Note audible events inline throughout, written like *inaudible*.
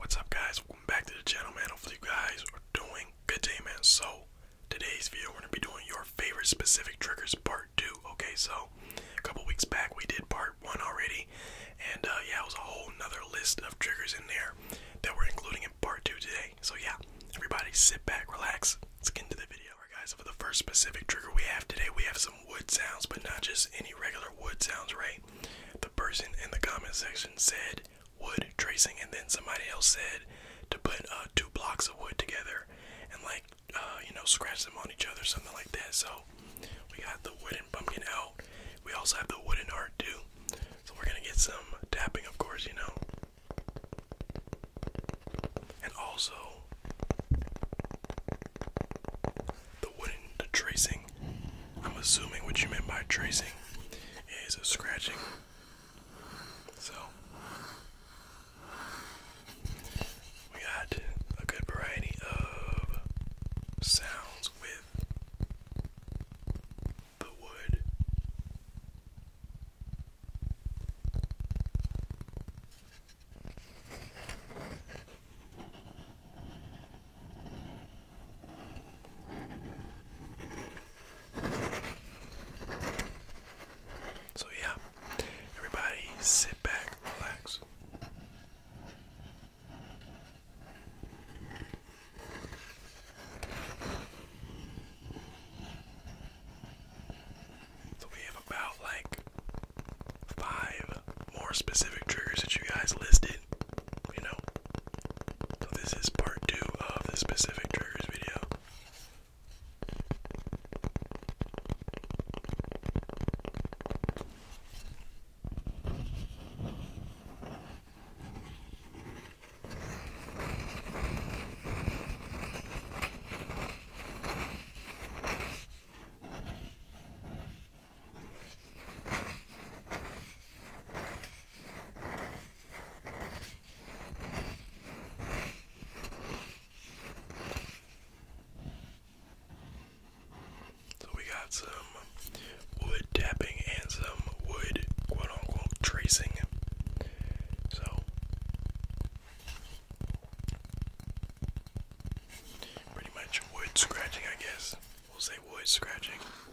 What's up guys, welcome back to the channel man, hopefully you guys are doing good day man. So, today's video we're going to be doing your favorite specific triggers part 2, okay? So, a couple weeks back we did part 1 already, and uh, yeah, it was a whole nother list of triggers in there that we're including in part 2 today. So yeah, everybody sit back, relax, let's get into the video. guys, so for the first specific trigger we have today, we have some wood sounds, but not just any regular wood sounds, right? The person in the comment section said wood tracing, and then somebody else said to put uh, two blocks of wood together and like uh, you know scratch them on each other, something like that. So we got the wooden pumpkin out. We also have the wooden art too. So we're gonna get some tapping, of course, you know. And also, the wooden the tracing. I'm assuming what you meant by tracing is a scratching. So we got a good variety of sounds with the wood. So, yeah, everybody sit back, relax. So, we have about like five more specific triggers that you guys listed you know. this is part two of the specific triggers video. So we got some wood tapping and some wood quote unquote tracing. So pretty much wood scratching I guess. We'll say wood scratching.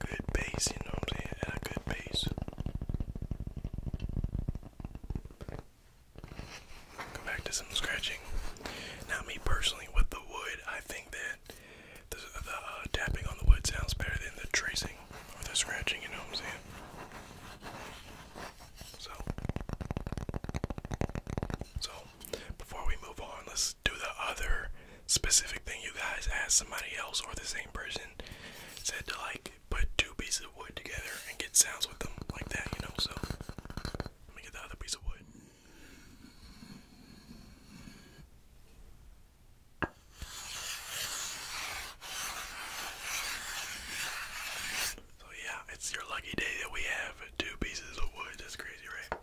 Good bass, you know I'm saying? And a good bass. Go back to some scratching. Now, me personally, with the wood, I think that the, uh, tapping on the wood sounds better than the tracing or the scratching, you know what I'm saying? So, so before we move on, let's else do the other specific thing you guys asked somebody else or the same person said to like put two pieces of wood together and get sounds with them like that, you know. So let me get the other piece of wood. So yeah, it's your lucky day that we have two pieces of wood. That's crazy, right?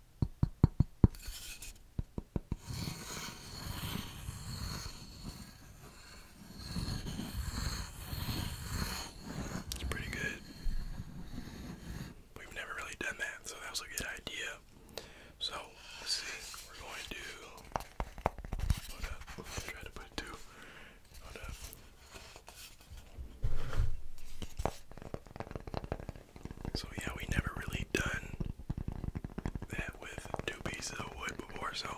It's pretty good. We've never really done that, so that was a good idea. So, let's see. We're going to. try to put two. So yeah, we never really done that with two pieces of wood before, so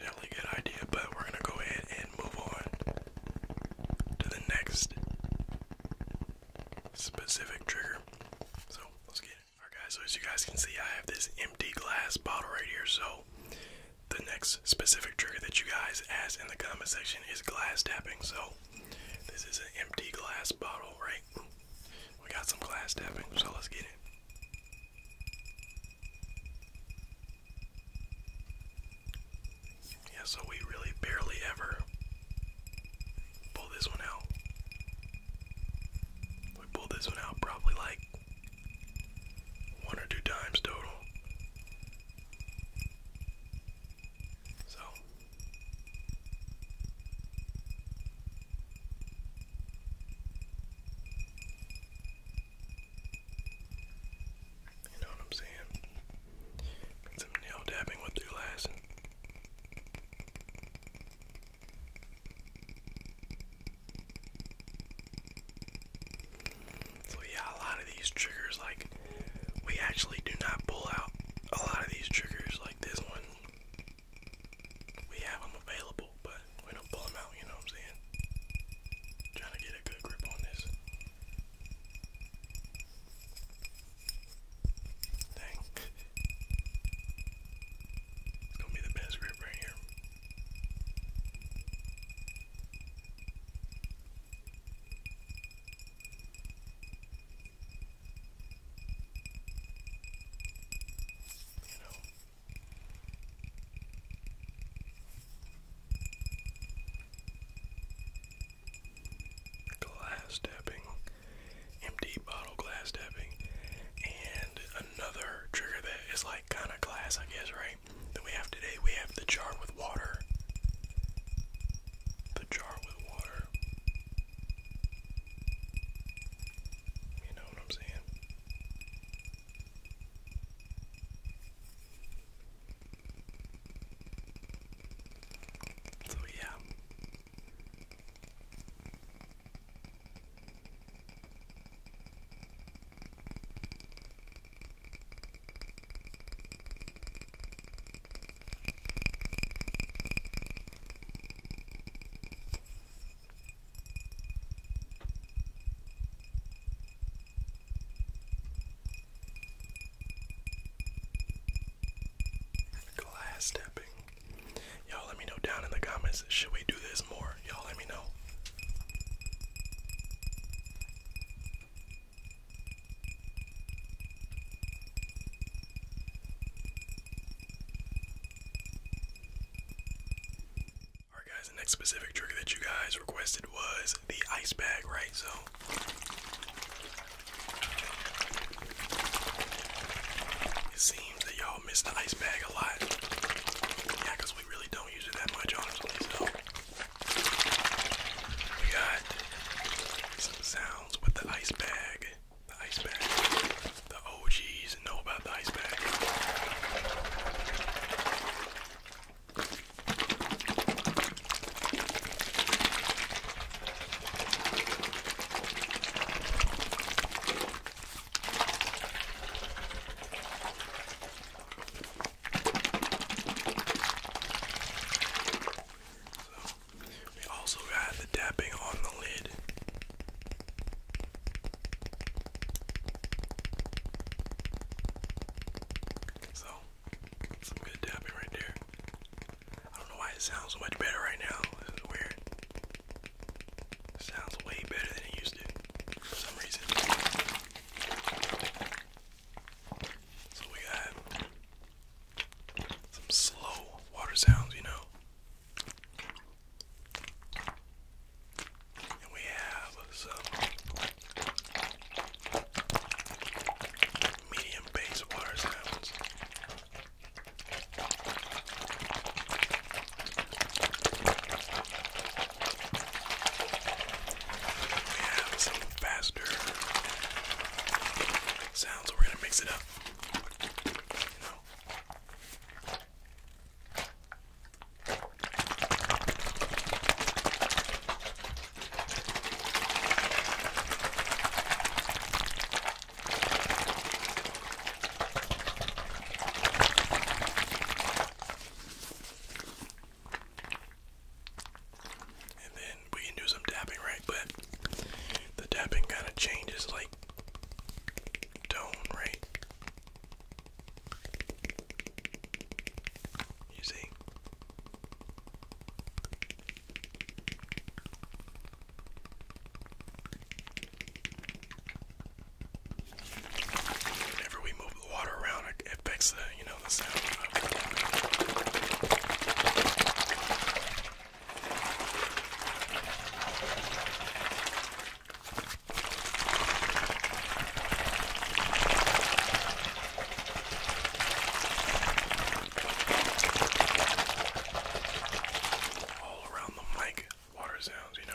definitely a good idea, but we're gonna go ahead and move on to the next specific trigger. So let's get it. guys, so as you guys can see I have this empty glass bottle right here, so the next specific trigger that you guys asked in the comment section is glass tapping. So this is an empty glass bottle right we got some glass tapping, so let's get it. Yeah, so we really barely ever pull this one out. We pulled this one out probably like one or two times total. So you know what I'm saying? some nail dabbing with your last. So yeah, a lot of these triggers, like we actually do not pull out a lot of these triggers, like this one we have them available, but we don't pull them out, you know what I'm saying? Trying to get a good grip on this. Dang. it's gonna be the best grip right here. Glass tapping, empty bottle glass tapping, and another trigger that is like kind of glass, I guess, right? That we have today. We have the jar with water. The jar with water. You know what I'm saying? So, yeah. Glass tapping. Y'all let me know down in the comments. Should we do this more? Y'all let me know. Alright guys, the next specific trick that you guys requested was the ice bag, right? So it seems that y'all miss the ice bag a lot. Yeah, we really don't use it that much, honestly. So we got some sounds with the ice bag. The ice bag. The OGs know about the ice bag. We also had the tapping on the lid. So, some good tapping right there. I don't know why it sounds much better right now. This is weird. sounds way better than it used to for some reason. So we got some slow water sounds, you know we have some medium bass water sounds. We have some faster sounds, we're gonna mix it up. And then we can do some dabbing, right? But the dabbing kind of changes like right tone right you see Whenever we move the water around, it affects the, you know, the sound. Of all around the mic, water sounds, you know.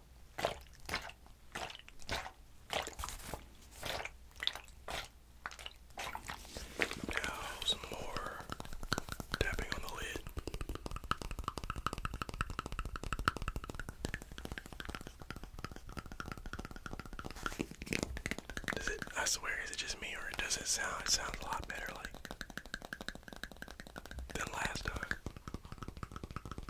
Now, some more tapping on the lid. Does it, I swear, is it just me or does it sound, it sounds a lot better like than last time?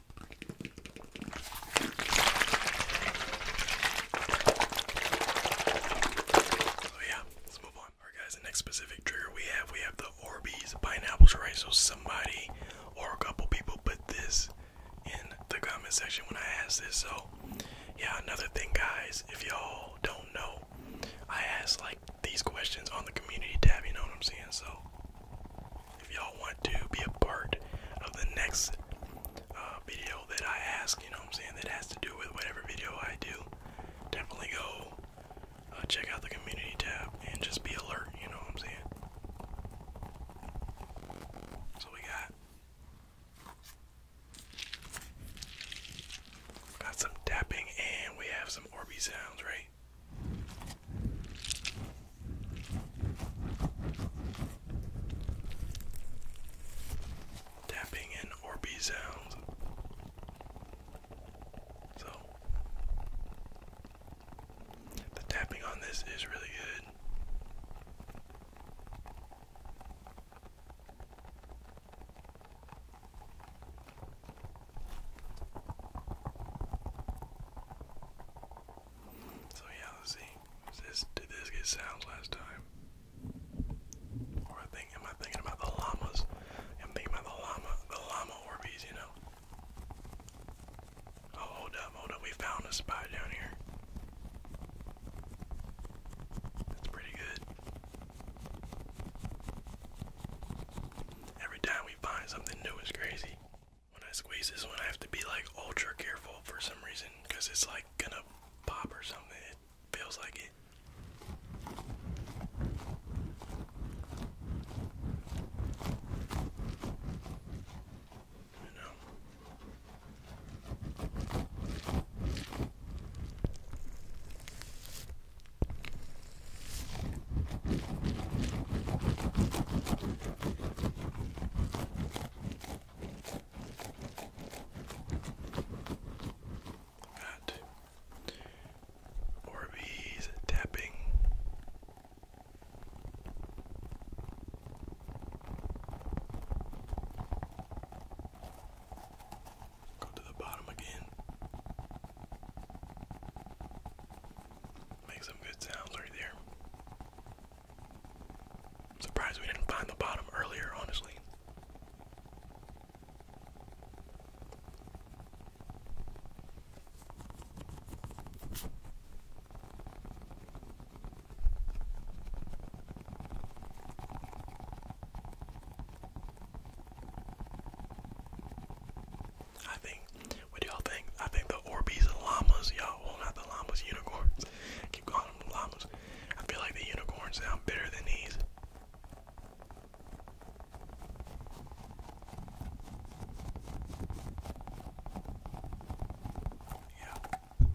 So oh, yeah, let's move on. Alright guys, the next specific trigger we have, we have the Orbeez pineapples, tray. So somebody or a couple people put this in the comment section when I asked this. So yeah, another thing guys, if y'all don't know, I asked like these questions on the community tab, you know what I'm saying? So if y'all want to be a part of the next uh, video that I ask, you know what I'm saying, that has to do with whatever video I do, definitely go uh, check out the community tab and just be alert, you know what I'm saying? So we got got some tapping and we have some Orby sounds, right? Tapping and Orby sounds. So, the tapping on this is really good. So, yeah, let's see did this get sounds last time? Or I think, am I thinking about the llamas? I'm thinking about the llama, the llama Orbeez, you know? Oh, hold up, hold up. We found a spot down here. That's pretty good. Every time we find something new, it's crazy. When I squeeze this one, I have to be like ultra careful for some reason because it's like gonna pop or something. It feels like it. You know. Got Orbeez tapping. Go to the bottom again. Make some good sounds right there. Surprised we didn't find the bottom earlier, honestly. I think what y'all think? I think the Orbeez and llamas, y'all. Well, not the llamas, unicorns. I *laughs* keep calling them llamas. I feel like the unicorns sound better than these. Yeah,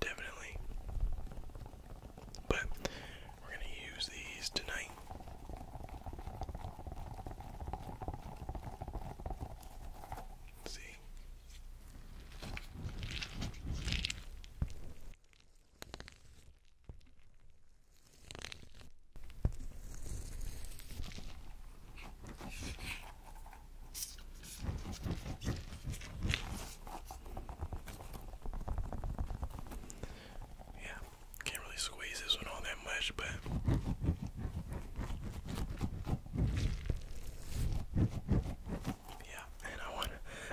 definitely. But we're gonna use these tonight. see, yeah, can't really squeeze this one all that much, but yeah, and I want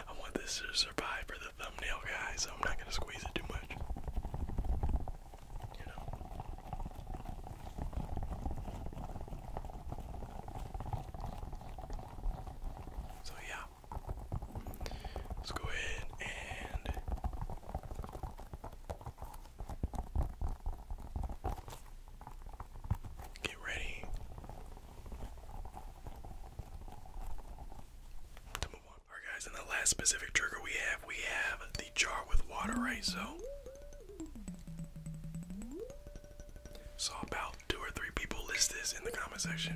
I want this to survive for the thumbnail guys. so I'm not gonna squeeze it too much. So yeah. Let's go ahead and Get ready Alright guys, in the last specific trigger we have, we have the jar with water, right? So Saw about two or three people list this in the comment section.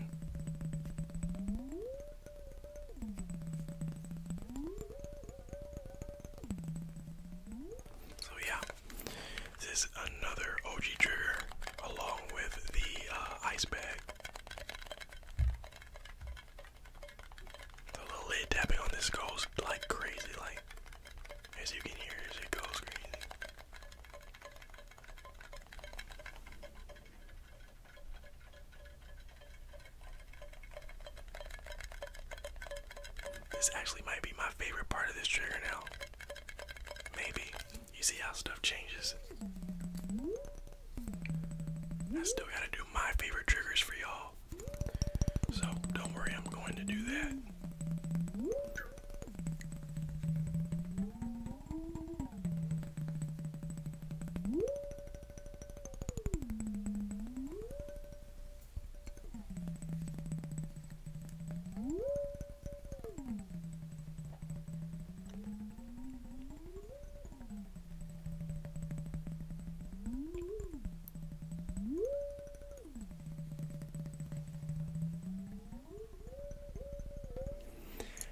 So yeah, this is another OG trigger along with the uh, ice bag. The little lid tapping on this goes like crazy, like as you can hear as it goes crazy. This actually might be my favorite part of this trigger now. Maybe. You see how stuff changes. I still gotta do my favorite triggers for y'all. So don't worry, I'm going to do that.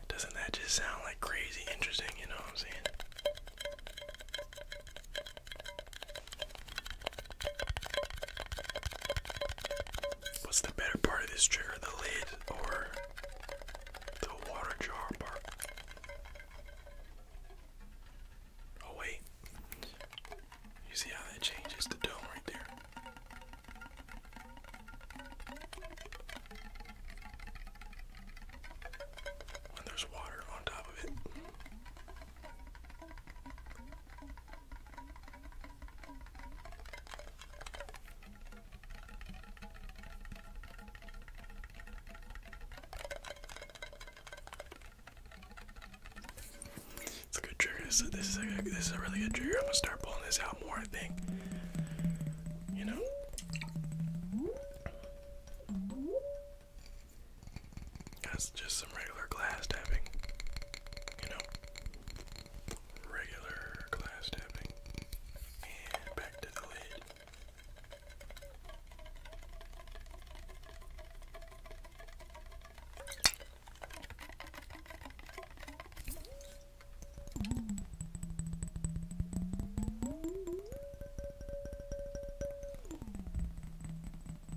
Doesn't that just sound like crazy interesting, you know what I'm saying? What's the better part of this trigger, the lid or the water jar part? Oh wait, you see how that changes the dome right there? When there's water on top of it. It's a good trigger. This is, this is a really good trigger. I'm gonna start pulling this out more. I think. You know. That's just some regular glass tapping. You know? Regular glass tapping. And back to the lid.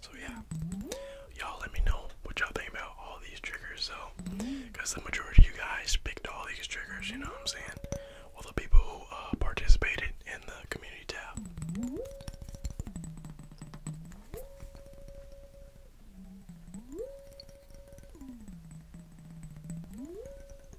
So yeah, y'all let me know what y'all think about all these triggers though, because the majority of you guys picked all these triggers, you know what I'm saying? Well, the people who uh, participated in the community tab.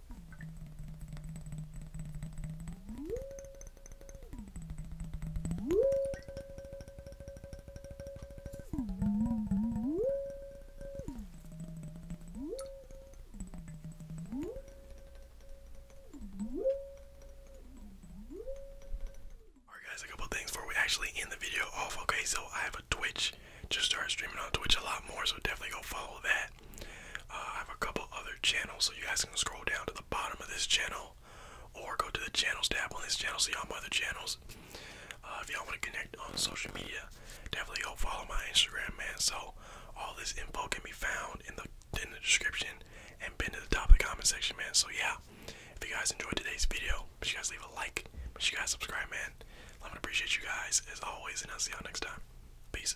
Alright guys, a couple things before we actually end the video off. Okay, so I have a Twitch. Just start streaming on Twitch a lot more, so definitely go follow that. Uh, I have a couple other channels, so you guys can scroll down to the bottom of this channel or go to the channels tab on this channel, see all my other channels. Uh, if y'all want to connect on social media, definitely go follow my Instagram, man. So all this info can be found in the in the description and pinned to the top of the comment section, man. So yeah, if you guys enjoyed today's video, make sure you guys leave a like, make sure you guys subscribe, man. I'm gonna appreciate you guys as always, and I'll see y'all next time. Peace.